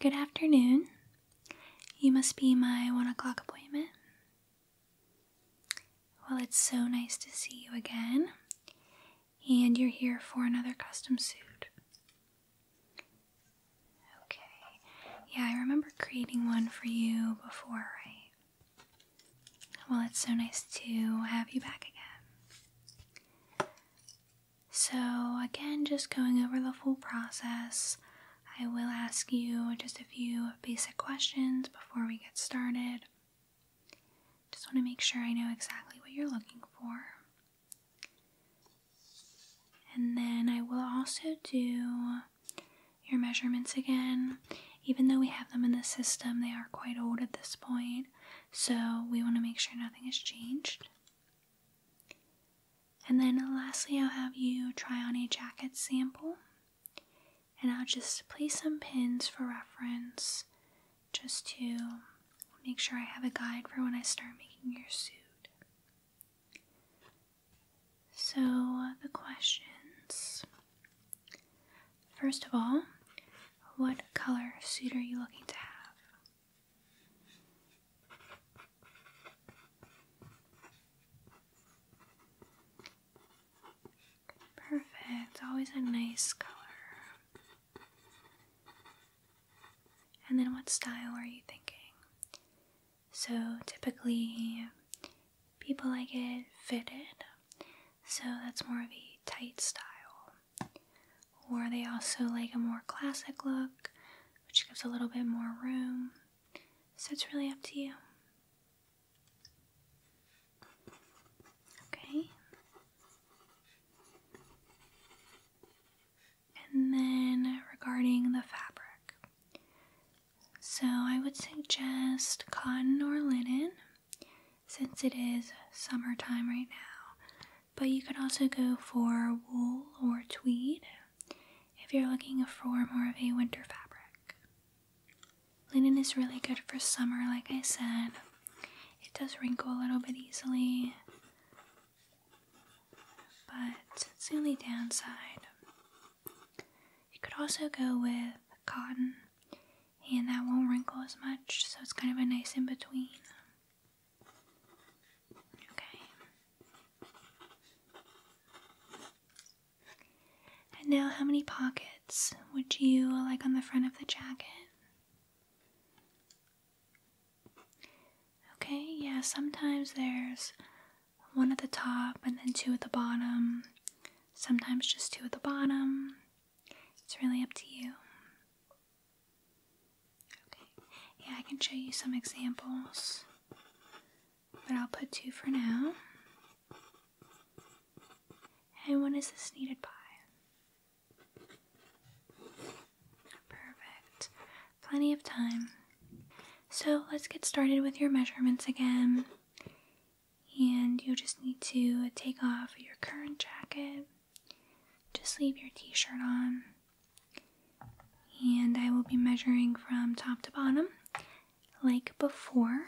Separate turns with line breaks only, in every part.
Good afternoon. You must be my one o'clock appointment. Well, it's so nice to see you again. And you're here for another custom suit. Okay. Yeah, I remember creating one for you before, right? Well, it's so nice to have you back again. So, again, just going over the full process, I will ask you just a few basic questions before we get started. Just want to make sure I know exactly what you're looking for. And then I will also do your measurements again. Even though we have them in the system, they are quite old at this point. So we want to make sure nothing has changed. And then lastly, I'll have you try on a jacket sample. And I'll just place some pins for reference just to make sure I have a guide for when I start making your suit. So, the questions First of all, what color suit are you looking to have? Perfect, always a nice color. And then what style are you thinking? So typically people like it fitted, so that's more of a tight style or they also like a more classic look, which gives a little bit more room. So it's really up to you. Okay. And then regarding the fabric. So I would suggest cotton or linen since it is summertime right now. But you could also go for wool or tweed if you're looking for more of a winter fabric. Linen is really good for summer, like I said. It does wrinkle a little bit easily, but it's the only downside. You could also go with cotton and that won't wrinkle as much, so it's kind of a nice in between. Okay. And now, how many pockets would you like on the front of the jacket? Okay, yeah, sometimes there's one at the top and then two at the bottom. Sometimes just two at the bottom. It's really up to you. Okay. Yeah, I can show you some examples, but I'll put two for now. And when is this needed by? Perfect. Plenty of time. So let's get started with your measurements again. And you just need to take off your current jacket just leave your t shirt on. And I will be measuring from top to bottom like before.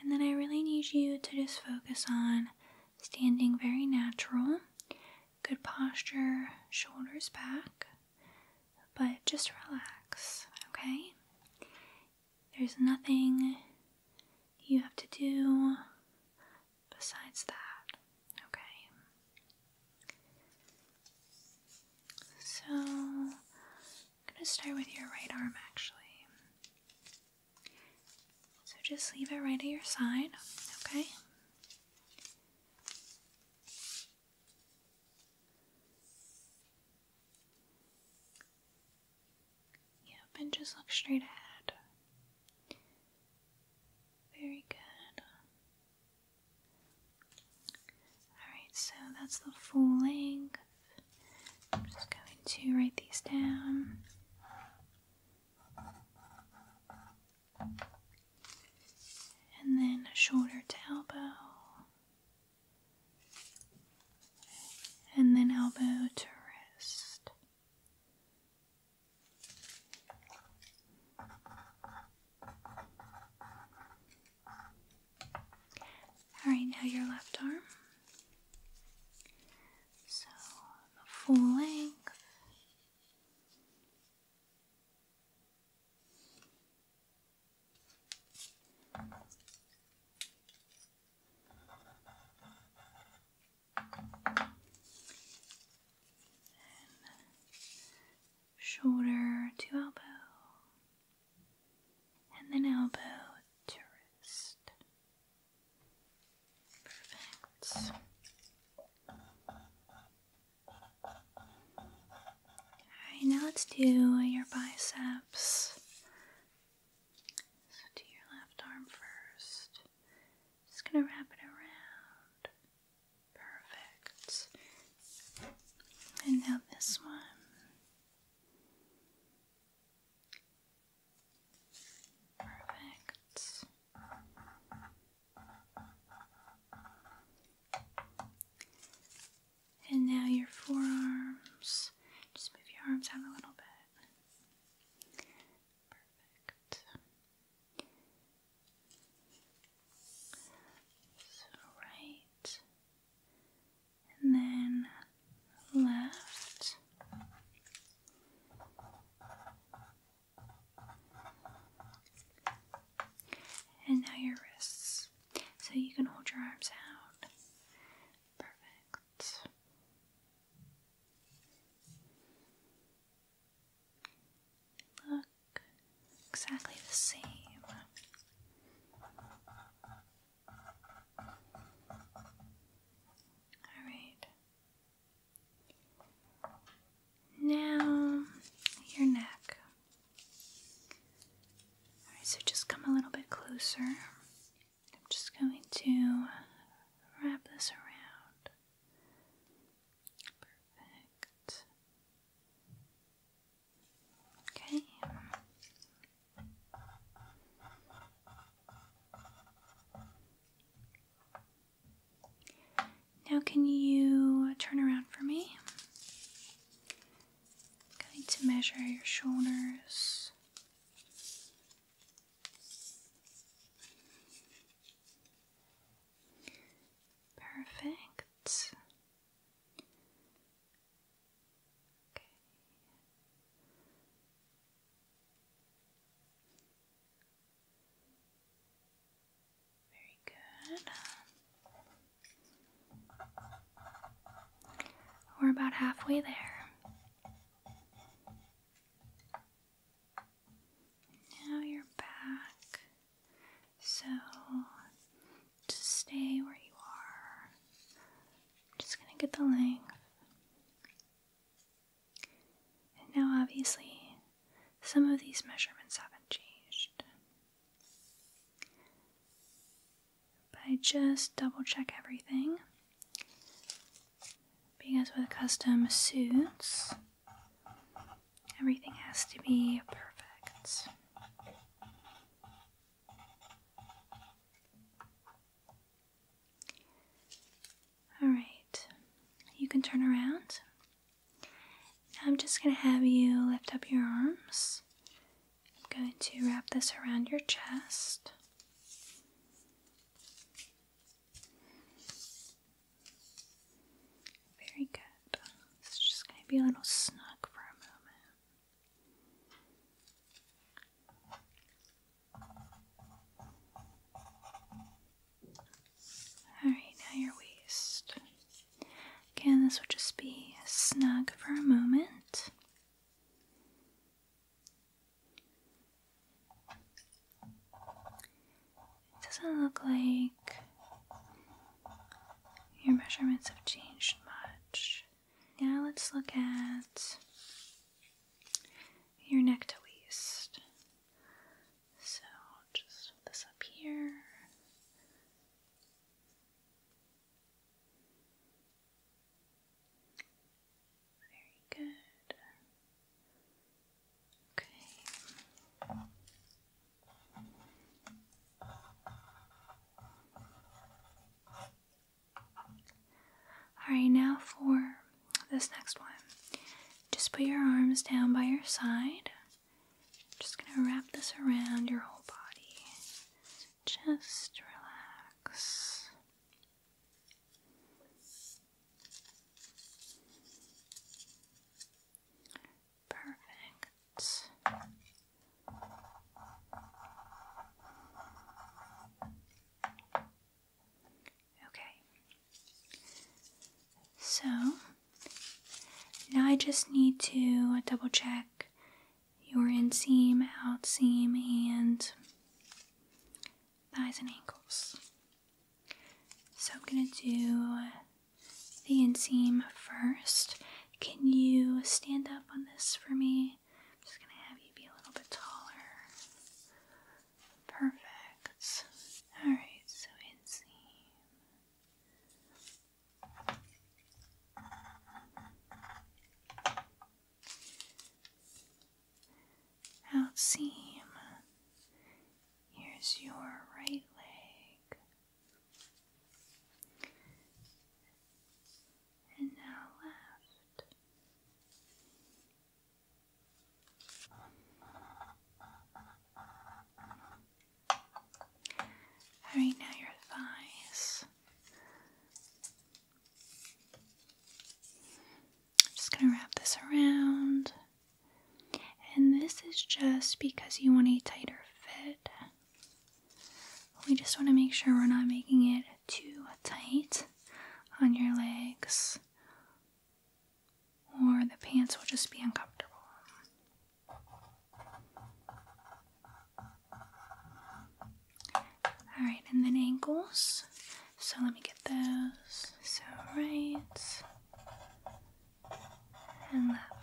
And then I really need you to just focus on standing very natural, good posture, shoulders back, but just relax, okay? There's nothing you have to do, besides that, okay? So, I'm going to start with your right arm actually. So, just leave it right at your side, okay? Yep, and just look straight ahead. Very good. Alright, so that's the full length. I'm just going to write these down. And then shoulder to elbow. And then elbow to wrist. All right, now your left arm. So, full length shoulder to elbow, and then elbow to wrist. Perfect. Alright, now let's do your biceps. So, do your left arm first. Just gonna wrap it around. Perfect. And now this one. Perfect. And now your forearms. Just move your arms out a little bit. So right and then left. And now your wrists. So you can hold your arms out. Perfect. Look exactly the same. All right. Now, your neck. Alright, so just come a little bit closer. I'm just going to wrap this around. Perfect. Okay. Now, can you turn around for me? I'm going to measure your shoulders Perfect. Okay. Very good. We're about halfway there. Now you're back. So to stay where you are. I'm just gonna get the length. now, obviously, some of these measurements haven't changed. But I just double check everything because with custom suits, everything has to be perfect. Alright, you can turn around. I'm just going to have you lift up your arms. I'm going to wrap this around your chest. Very good. It's just going to be a little snug for a moment. Alright, now your waist. Again, this will just be snug for a moment. It doesn't look like your measurements have changed much. Now let's look at your neck to waist. So just this up here. Very good. Okay. Alright, now for this next one. Just put your arms down by your side. just gonna wrap this around your whole body. Just relax. Perfect. Okay. So now I just need to double check your in seam, out seam, and thighs and ankles. So I'm going to do the inseam first. Can you stand up on this for me? I'm just going to have you be a little bit taller. Perfect. Alright, so inseam out seam. Here's your right leg. And now left. Alright, now your thighs. I'm just gonna wrap this around. And this is just because you want a tighter fit. We just want to make sure we're not making it too tight on your legs, or the pants will just be uncomfortable. All right, and then ankles. So let me get those. So right and left.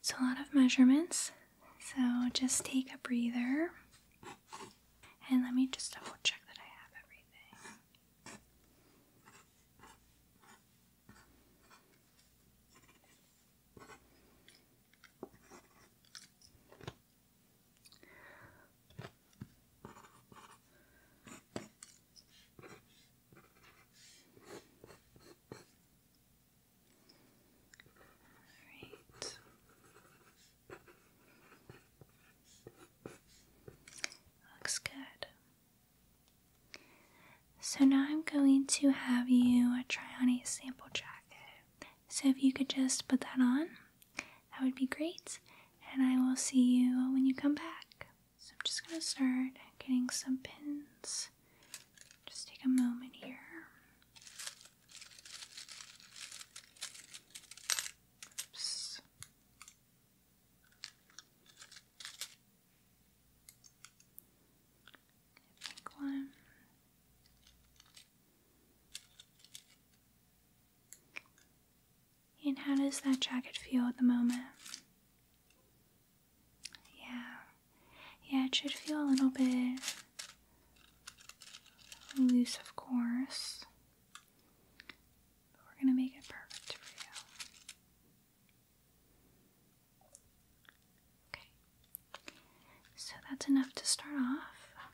It's a lot of measurements. So just take a breather. And let me just double check that I have everything. Alright. Looks good. So now I'm going to have you try on a sample jacket. So if you could just put that on, that would be great. And I will see you when you come back. So I'm just gonna start getting some pins. Just take a moment here. Oops. And how does that jacket feel at the moment? Yeah, yeah, it should feel a little bit loose, of course. But we're gonna make it perfect for you. Okay, so that's enough to start off.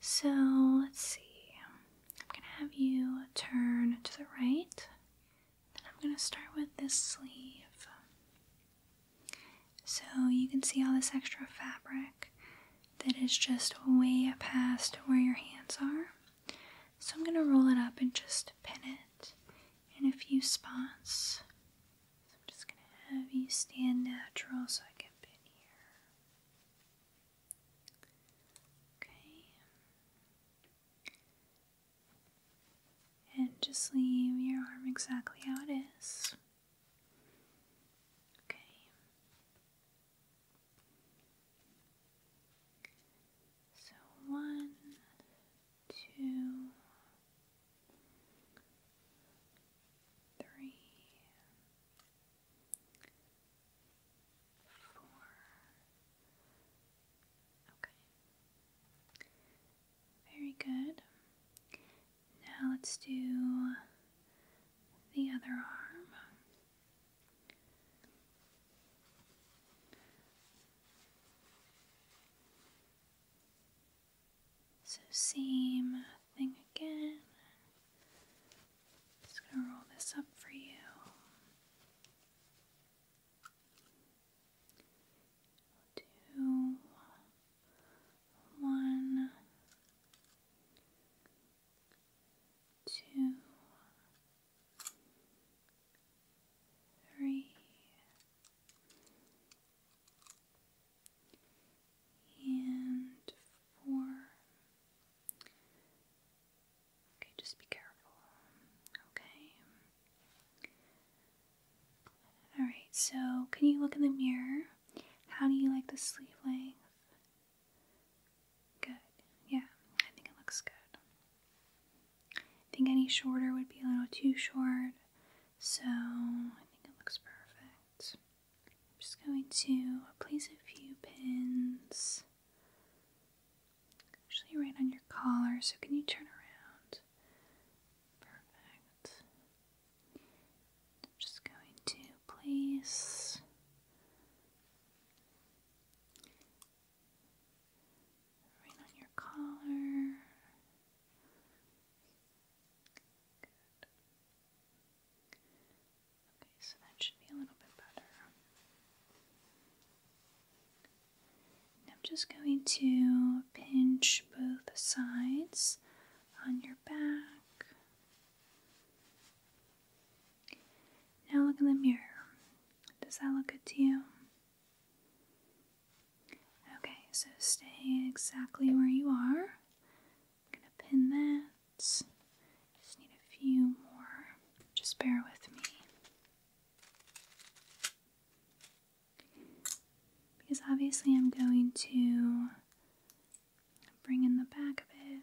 So let's see, I'm gonna have you turn to the right, then I'm gonna start with this sleeve. So you can see all this extra fabric that is just way past where your hands are. So I'm going to roll it up and just pin it in a few spots I'm just going to have you stand natural so I can pin here. Okay. And just leave your arm exactly how it is. Okay. So one, two, three, four. Okay. Very good. Now let's do the other arm. So same thing again. Just gonna roll this up for you. we three, and four. Okay, just be careful. Okay. Alright, so can you look in the mirror? How do you like the sleeve length? Good. Yeah, I think it looks good. I think any shorter would be a little too short, so I think it looks perfect. am just going to place a few pins, actually right on your collar, so can you turn around? Perfect. just going to place right on your collar. Okay, so that should be a little bit better. I'm just going to pinch both sides on your back. Now look in the mirror. Does that look good to you? Okay, so stay exactly where you are. I'm gonna pin that. Just need a few more. Just bear with me. Because obviously I'm going to bring in the back of it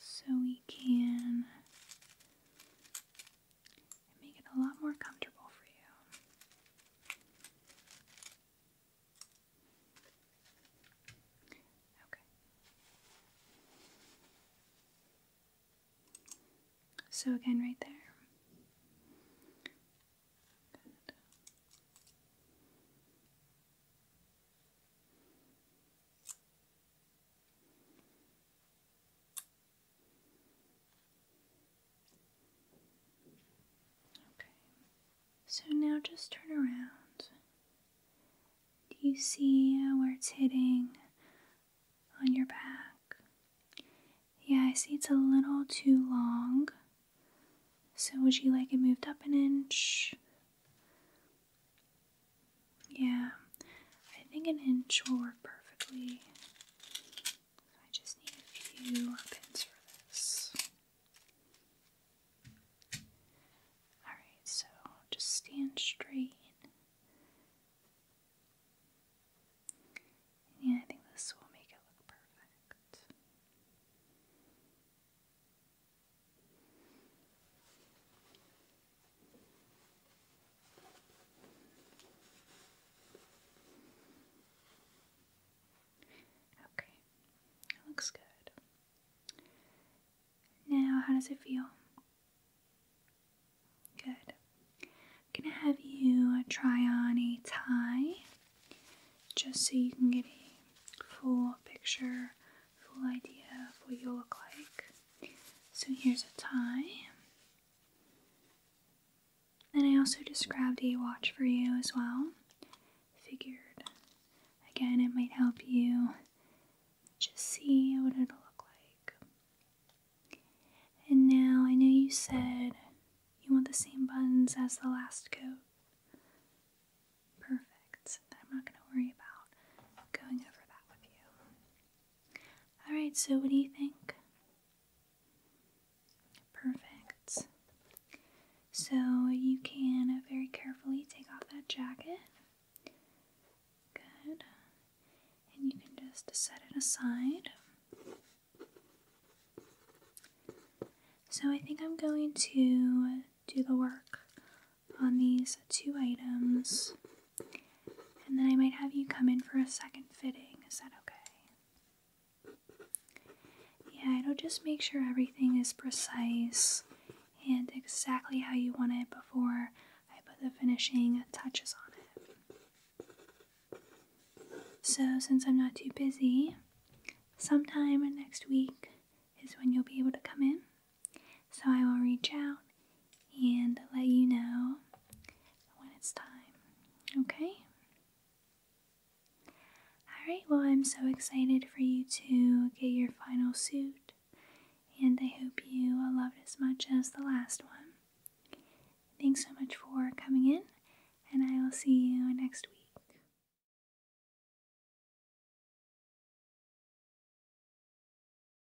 so we can and make it a lot more comfortable for you. Okay. So again, right there. Okay, so now just turn around. Do you see where it's hitting on your back? Yeah, I see it's a little too long. So, would you like it moved up an inch? Yeah, I think an inch will work perfectly. I just need a few pins for this. Alright, so just stand straight. Yeah, I think this will make it look perfect. Okay, looks good. Now, how does it feel? Good. I'm gonna have you try on a tie just so you can get a full picture, full idea of what you look like. So here's a tie. And I also just grabbed a watch for you as well. Figured, again, it might help you just see what it'll look like. And now I know you said you want the same buttons as the last coat. Perfect. I'm not going to worry about going over that with you. Alright, so what do you think? Perfect. So you can very carefully take off that jacket. Good. And you can just set it aside. So I think I'm going to do the work on these two items and then I might have you come in for a second fitting. Is that okay? Yeah, it'll just make sure everything is precise and exactly how you want it before I put the finishing touches on it. So, since I'm not too busy, sometime next week is when you'll be able to come in. So, I will reach out and let you know when it's time. Okay? Alright, well, I'm so excited for you to get your final suit, and I hope you love it as much as the last one. Thanks so much for coming in, and I will see you next week.